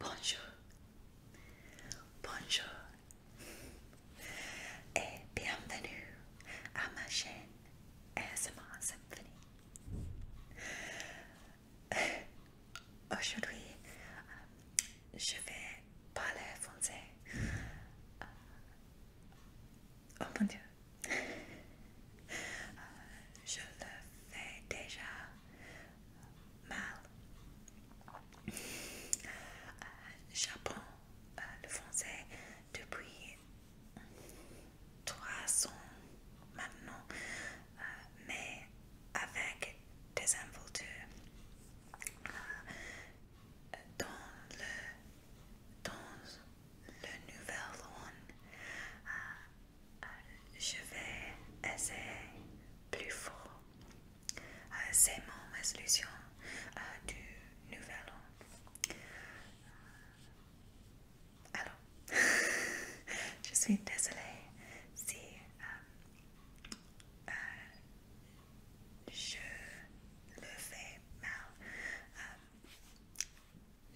Bonjour, bonjour et bienvenue à ma chaîne ASMR Symphony. Euh, aujourd'hui, euh, je vais parler français. Euh, oh mon dieu, je le fais déjà euh, J'apprends euh, le français depuis ans maintenant, euh, mais avec des involtures. dans le, dans le Nouvelle-Zélande, je vais essayer plus fort. Euh, c'est mon résolution euh, du nouvel an. Euh, alors, je suis désolée si je le fais mal.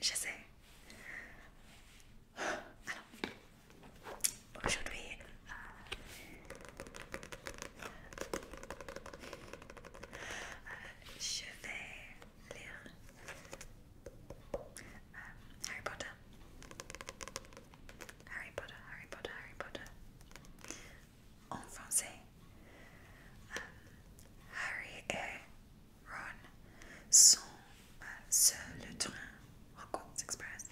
je sais. Alors, aujourd'hui, euh, euh, je vais lire um, Harry Potter. Harry Potter, Harry Potter, Harry Potter. En français, um, Harry et Ron sont sur le train Express.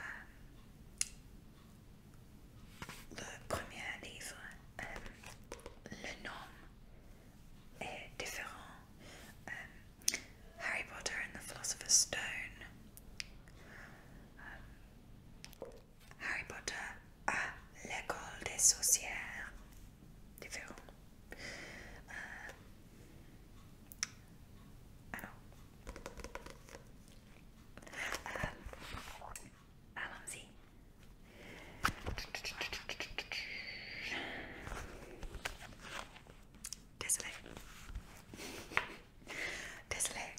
Euh, le premier livre, euh, le nom est différent. Euh, Harry Potter and the Philosopher's Stone. Harry Potter à l'école des sorcières. Différent. I don't.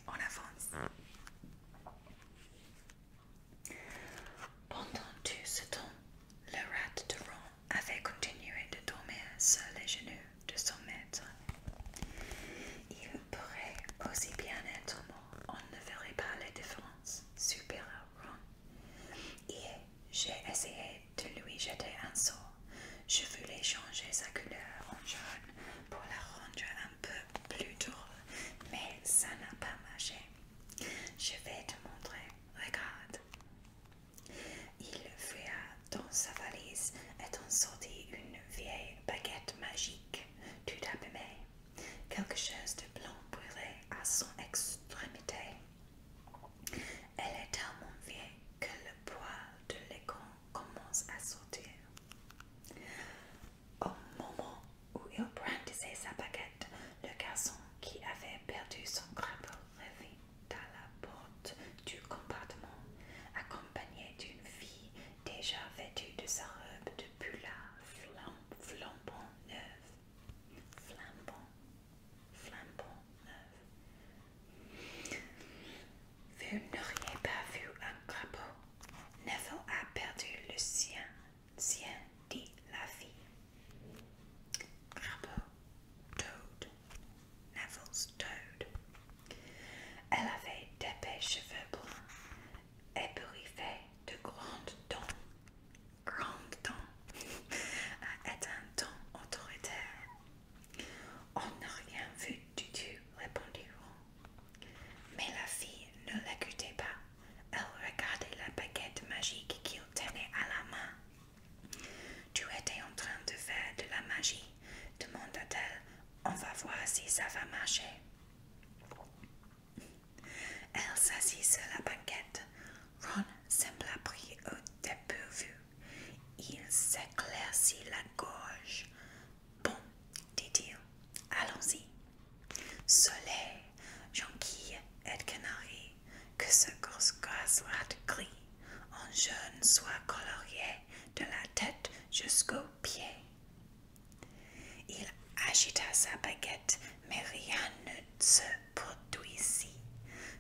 on avance. Pendant tout ce temps, le rat de Ron avait continué de dormir sur les genoux de son maître. Il pourrait aussi bien être mort, on ne verrait pas les différences, super, Ron. et j'ai essayé de lui jeter un saut. Je voulais changer sa couleur en jaune pour la rendre un peu plus drôle, mais ça n'a pas marché. Je vais te montrer, regarde. Il fouilla dans sa valise, et étant sortit une vieille baguette magique, tout abîmée. Quelque chose de blanc brûlait à son extrémité. Elle est tellement vieille que le poids de l'écran commence à sortir. Au moment où il brandissait sa baguette, le garçon qui avait perdu son crapaud revit à la porte du compartiment, accompagnée d'une fille déjà vêtue de sa robe de pullard flambant neuve. Flambant, flambant neuf Vous n'auriez pas vu un crapaud. Neville a perdu le sien, sien, dit la fille. Apple Toad, Neville's Toad. Elle avait d'épais cheveux bruns, ébouriffés de grandes dents. Grandes dents être un ton autoritaire. On n'a rien vu du tout, répondit Ron. Mais la fille ne l'écoutait pas. Elle regardait la baguette magique qu'il tenait à la main. Tu étais en train de faire de la magie, demanda-t-elle. On va voir si ça va marcher. Elle s'assit sur la banquette. Ron sembla pris au dépourvu. Il s'éclaircit la gorge. Bon, dit-il, allons-y. Soleil, jonquille et que ce grosse soit gris, en jaune soit colorié de la tête jusqu'aux pieds. Il agita sa baguette, mais rien ne se produisit.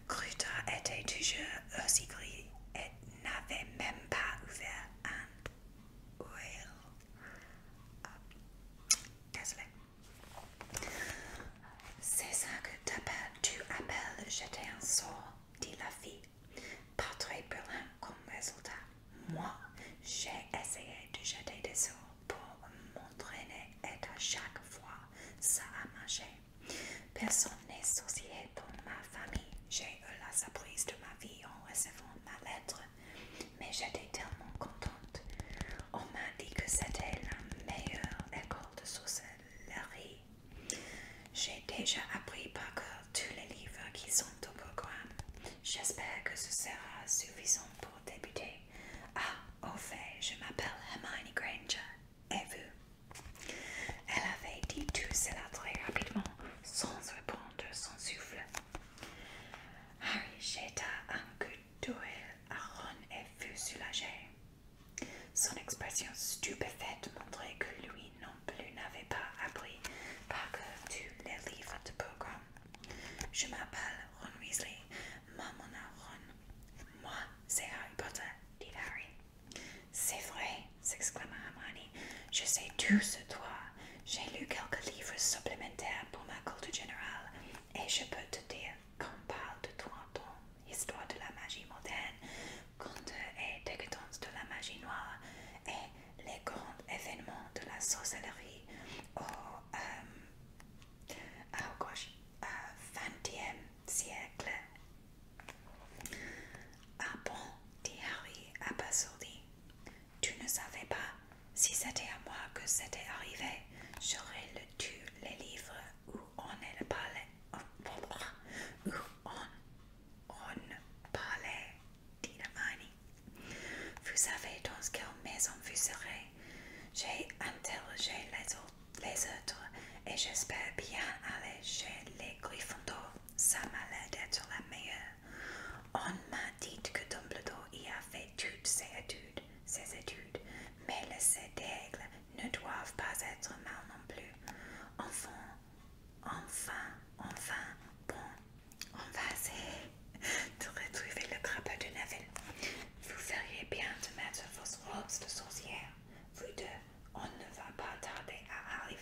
Cruta était toujours aussi gris et n'avait même pas ouvert un oeil. Ah, c'est ça que tu appelles jeter un sort, dit la fille. Pas très brillant comme résultat. Moi, j'ai essayé de jeter des sorts pour m'entraîner et à chaque fois, ça a marché. Personne n'est soucié dans ma famille. J'ai eu la surprise de ma vie en recevant ma lettre, mais j'étais tellement contente. On m'a dit que c'était la meilleure école de sorcellerie j'ai déjà appris par cœur tous les livres qui sont au programme. J'espère que ce sera suffisant pour débuter. Ah, au fait, je m'appelle Hermione Granger. Et vous Elle avait dit tout cela très rapidement, sans répondre son souffle. Harry jeta un coup d'œil à et fut soulagé. Son expression stupéfaite montrait que lui non plus n'avait pas appris par cœur tous les livres de programme. Je m'appelle Ron Weasley, maman a Ron. Moi, c'est Harry Potter, dit Harry. C'est vrai, s'exclama Hermione. Je sais tout sur toi. J'ai lu quelques livres supplémentaires pour ma culture générale et je peux te dire qu'on parle de toi en toi histoire de la magie moderne, conte euh, et décadence de la magie noire et les grands événements de la sorcellerie au XXe euh, ah, oh euh siècle. Ah bon, dit Harry abasourdi. Tu ne savais pas si c'était à moi que c'était arrivé, j'aurais le tu les livres ou on est parlait, on, on parlait d'Inamani. Vous savez dans quelle maison vous serez J'ai interrogé les autres, les autres et j'espère bien aller chez les Gryffondors. Ça m'a l'air d'être la meilleure. On m'a dit que Dumbledore y a fait toutes ses études, ses études, mais le cèdre ne doivent pas être mal non plus. Enfin, enfin, enfin, bon, on va essayer de retrouver le crapaud de Neville. Vous feriez bien de mettre vos robes de sorcière. Vous deux, on ne va pas tarder à arriver.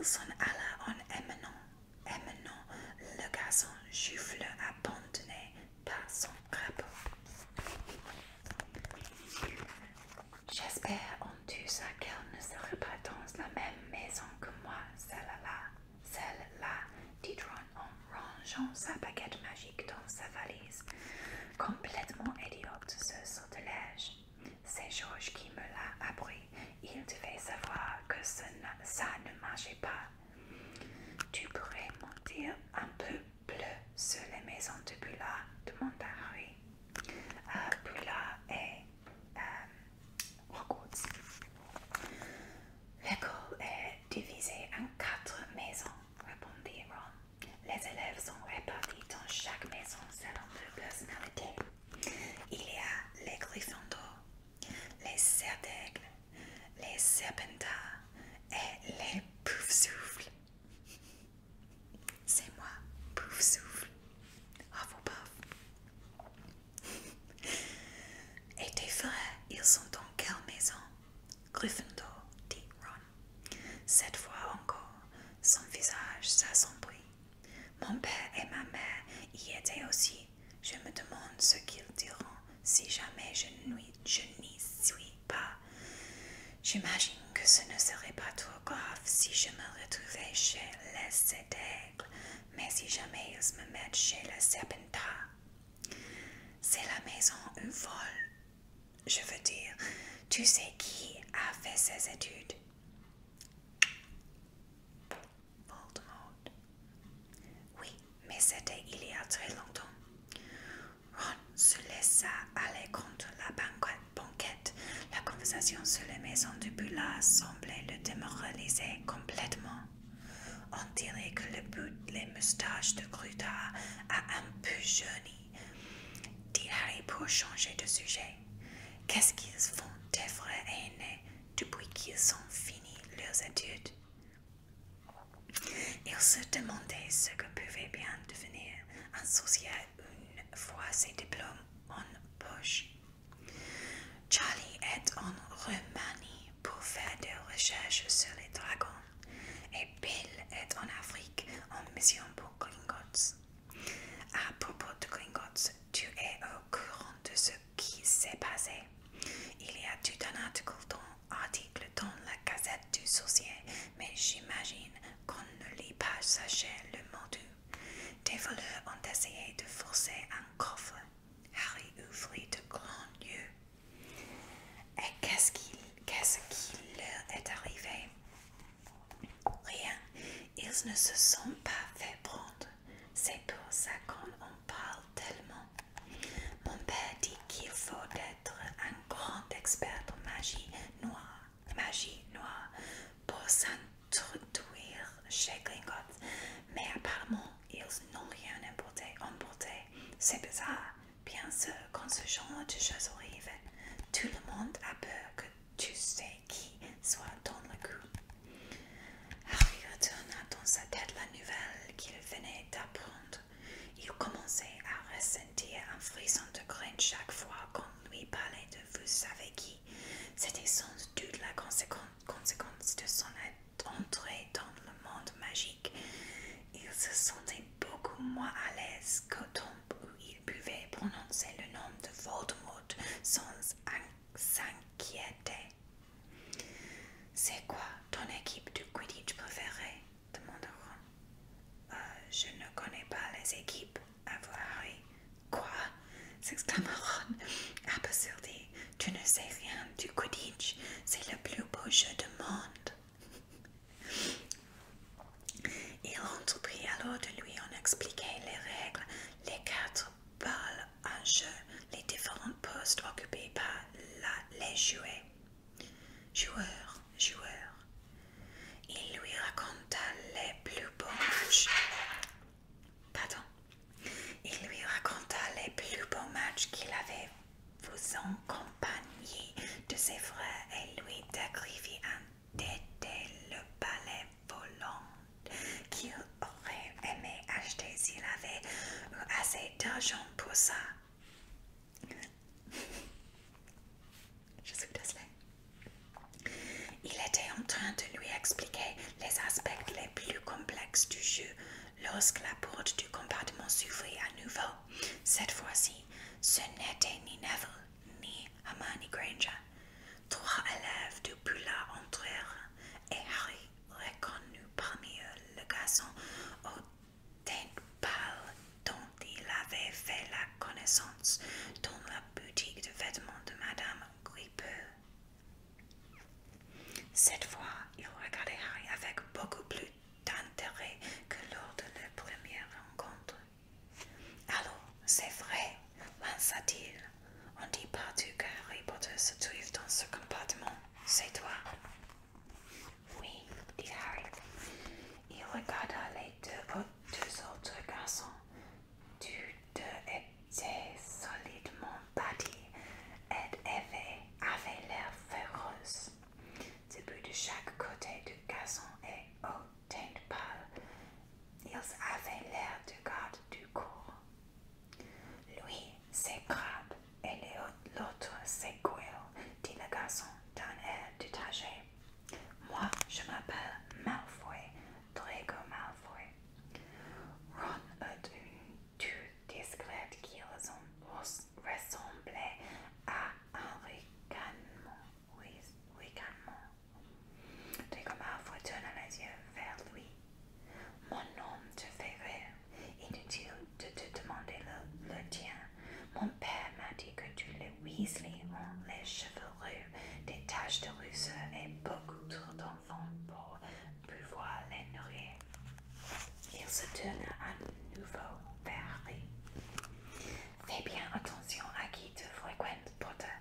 son alla en émenant, émenant le garçon le abandonné son J'espère en tout ça qu'elle ne sera pas dans la même maison que moi, celle-là, celle-là, dit Ron en rangeant sa baguette magique dans sa valise. Complètement idiote ce sortilège. C'est Georges qui me l'a appris. Il devait savoir que ça ne marchait pas. Tu pourrais monter un peu plus sur les maisons de Pula » demanda Harry. Pula euh, est euh, L'école est divisée en quatre maisons, répondit Ron. Les élèves sont répartis dans chaque maison selon leur personnalité. Il y a les d'eau, les Serdaigles, les serpents et les Poufsouffles. C'est moi, pouf-souffle. Ah, et tes frères, ils sont dans quelle maison Gryffondor, dit Ron. Cette fois encore, son visage s'assombrit. Mon père et ma mère y étaient aussi. Je me demande ce qu'ils diront si jamais je n'y suis pas. J'imagine que ce ne serait pas trop grave si je me retrouvais chez les sept mais si jamais ils me mettent chez les serpentin, c'est la maison une folle. Je veux dire, tu sais qui a fait ses études Voldemort. Oui, mais c'était il y a très longtemps. Ron se laissa aller contre la banquette. La conversation sur les maisons de Bullard semblait le démoraliser complètement. On dirait que le bout des moustaches de Gruta a un peu jauni, dit Harry pour changer de sujet. Qu'est-ce qu'ils font des vrais aînés depuis qu'ils ont fini leurs études il se demandait ce que pouvait bien devenir un sorcier une fois ses diplômes en poche. Charlie est en Roumanie pour faire des recherches sur les dragons et Bill est en Afrique en mission pour Gringotts. À propos de Gringotts, tu es au courant de ce qui s'est passé. Il y a tout un article dans article dans la Gazette du Sorcier, mais j'imagine qu'on ne lit pas sachez le monde. Des voleurs ont essayé de forcer un coffre. Harry ouvrit de grands yeux. Et qu'est-ce qui, qu'est-ce qui leur est arrivé Rien. Ils ne se sont pas fait prendre. C'est pour ça qu'on parle tellement. Mon père dit qu'il faut être un grand expert en magie noire, magie noire pour s'introduire chez Gringotts, mais apparemment ils n'ont rien importé, emporté. C'est bizarre. Bien sûr, quand ce genre de choses arrive, tout le monde a peur que tu sais qui soit dans le coup. Harry retourna dans sa tête la nouvelle qu'il venait d'apprendre. Il commençait à ressentir un frisson de crainte chaque fois qu'on lui parlait de vous savez qui. C'était sans doute la conséquence de son entrée dans le monde magique. Il se sentait beaucoup moins à l'aise qu'au temps où il pouvait prononcer le nom de Voldemort sans s'inquiéter. C'est quoi ton équipe de Quidditch préférée demanda Ron. Euh, je ne connais pas les équipes, avoua Harry. Quoi s'exclama Ron, abasourdi. Tu ne sais rien du Quidditch, c'est le plus beau jeu du monde. Il entreprit alors de lui en expliquer les règles, les quatre balles en jeu, les différents postes occupés par les jouets. Joueur, joueur, il lui raconta les plus beaux matchs. Pardon. Il lui raconta les plus beaux matchs qu'il avait vous en compagnie de ses frères et lui décrivit un détail le palais volant qu'il aurait aimé acheter s'il avait assez d'argent pour ça. Je suis Il était en train de lui expliquer les aspects les plus complexes du jeu lorsque la porte du compartiment s'ouvrit à nouveau. Cette fois-ci, ce n'était ni Neville ni Hermione Granger. Trois élèves du Pula entrèrent et Harry reconnut parmi eux le garçon d'un pâle dont il avait fait la connaissance dans la boutique de vêtements de Madame Gripeux. Cette fois, il regardait Harry avec beaucoup plus d'intérêt que lors de leur première rencontre. Alors, c'est vrai, lança-t-il. On dit partout que Harry Potter se trouve dans ce compartiment c'est toi Oui, dit Harry. Il regarda les deux, autres garçons. Tous deux étaient solidement bâtis et avaient, l'air féroces. Des de chaque côté du garçon et aux teintes pâles. Ils avaient l'air de garde du corps. Lui, c'est grave. » et l'autre c'est s'écoule, dit le garçon d'un air détaché. Moi, je m'appelle Malfoy, Drago Malfoy. Ron eut une toux discrète qui ressemblait à un ricanement. Oui, ricanement. Drago Malfoy tourne les yeux vers lui. Mon nom te fait rire, Inutile de te demander le, le tien. Mon père m'a dit que tu les Weasley ont les cheveux roux, des taches de rousseur et beaucoup trop d'enfants pour pouvoir les nourrir. Il se tourne à nouveau vers Fais bien attention à qui te fréquente, Potter.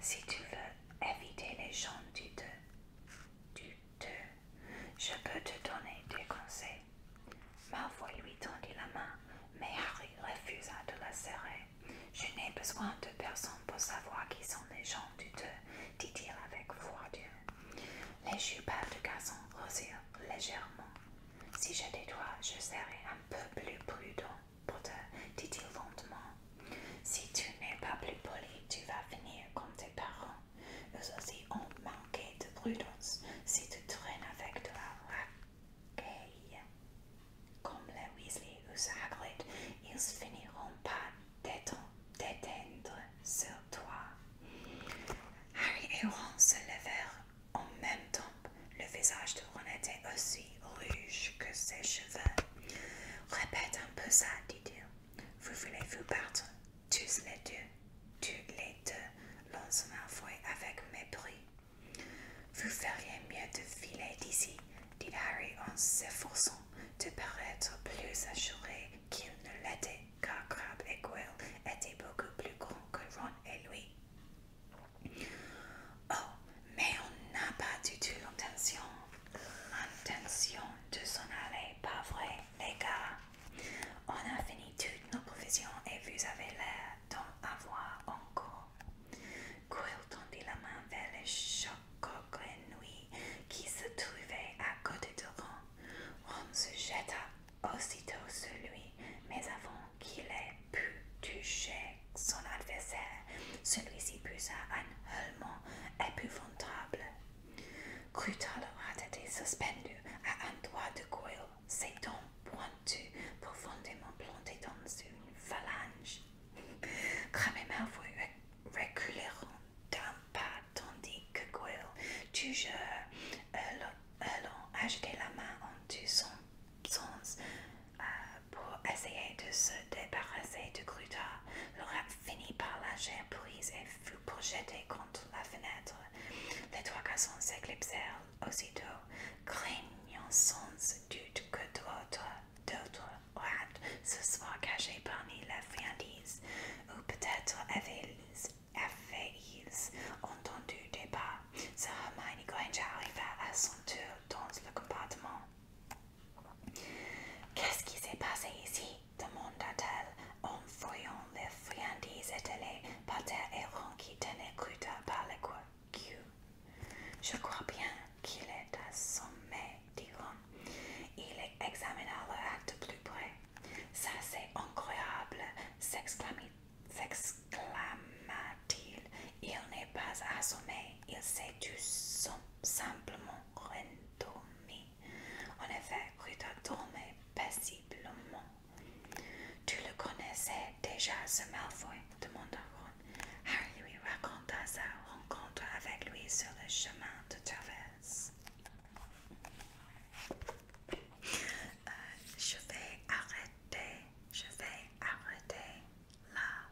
Si tu veux éviter les gens du Deux. du te je peux te donner des conseils. Ma Malfoy lui tendit la main, mais Harry refusa de la serrer. Je n'ai besoin de personne pour savoir qui sont les gens du deux, dit-il avec voix dure. Les jupes de garçon rosirent légèrement. Si j'étais toi, je serais un peu plus prudent, te dit-il ventement. « Si tu n'es pas plus poli, tu vas finir comme tes parents. Eux aussi ont manqué de prudence. Si tu traînes avec de la racaille, comme les Weasley ou Hagrid, ils finiront par déteindre sur toi. Harry et Ron se levèrent en même temps. Le visage de Ron était aussi rouge que ses cheveux. Répète un peu ça, dit-il. Vous voulez vous battre tous les deux, tous les deux, lance Malfoy avec mépris. Vous feriez mieux de filer d'ici, dit Harry en s'efforçant de paraître plus assuré qu'il ne l'était, car Crabbe et Goyle étaient beaucoup plus grands que Ron et lui. Oh, mais on n'a pas du tout l'intention, l'intention de s'en aller, pas vrai, les gars on a fini toutes nos provisions et vous avez l'air d'en avoir encore. Quill tendit la main vers les lui qui se trouvaient à côté de Ron. Ron se jeta aussitôt sur lui, mais avant qu'il ait pu toucher son adversaire, celui-ci poussa un hurlement épouvantable leur a été suspendu à un doigt de Goyle, ses dents pointues profondément plantées dans une phalange. cramé et Malfoy reculeront d'un pas tandis que Goyle, toujours jeté la main en tous son sens euh, pour essayer de se débarrasser de Cruta finit par lâcher prise et fut projeté contre la fenêtre. Les trois garçons s'éclipsèrent aussitôt, craignant sans doute que d'autres rats se soient cachés parmi la friandise, ou peut-être avaient-ils entendu des pas. Sir Hermione Granger arriva à son tour dans le compartiment. Qu'est-ce qui s'est passé ici demanda-t-elle en voyant les friandises étalées par terre et Ron qui tenait Cruta par le cou. Je crois bien qu'il est assommé, dit Ron. Il examina le acte plus près. Ça, c'est incroyable, s'exclama-t-il. Il n'est pas assommé, il s'est tout simplement rendormi. En effet, a dormait paisiblement. Tu le connaissais déjà, ce Malfoy demanda Ron. Harry lui raconta sa rencontre avec lui sur le chemin de traverse. Euh, je vais arrêter, je vais arrêter là.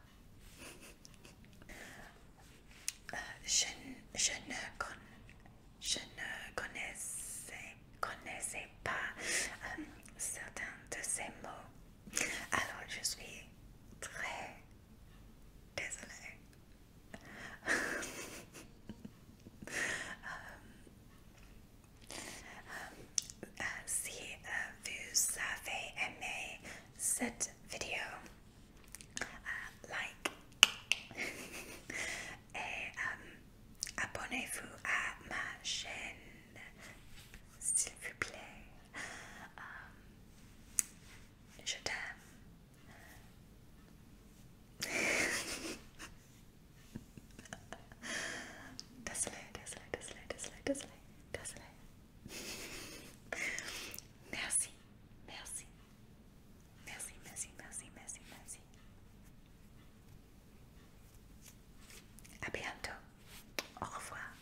Euh, je, ne je ne connaissais, pas euh, certains de ces mots. Alors je suis très désolée. Euh, si vous avez aimé cette vidéo, uh, like et eh, um, abonnez-vous à ma chaîne s'il vous plaît um, je t'aime désolé désolé désolé désolé désolé désolé merci merci Merci, merci, merci, merci, merci. À bientôt. Au revoir.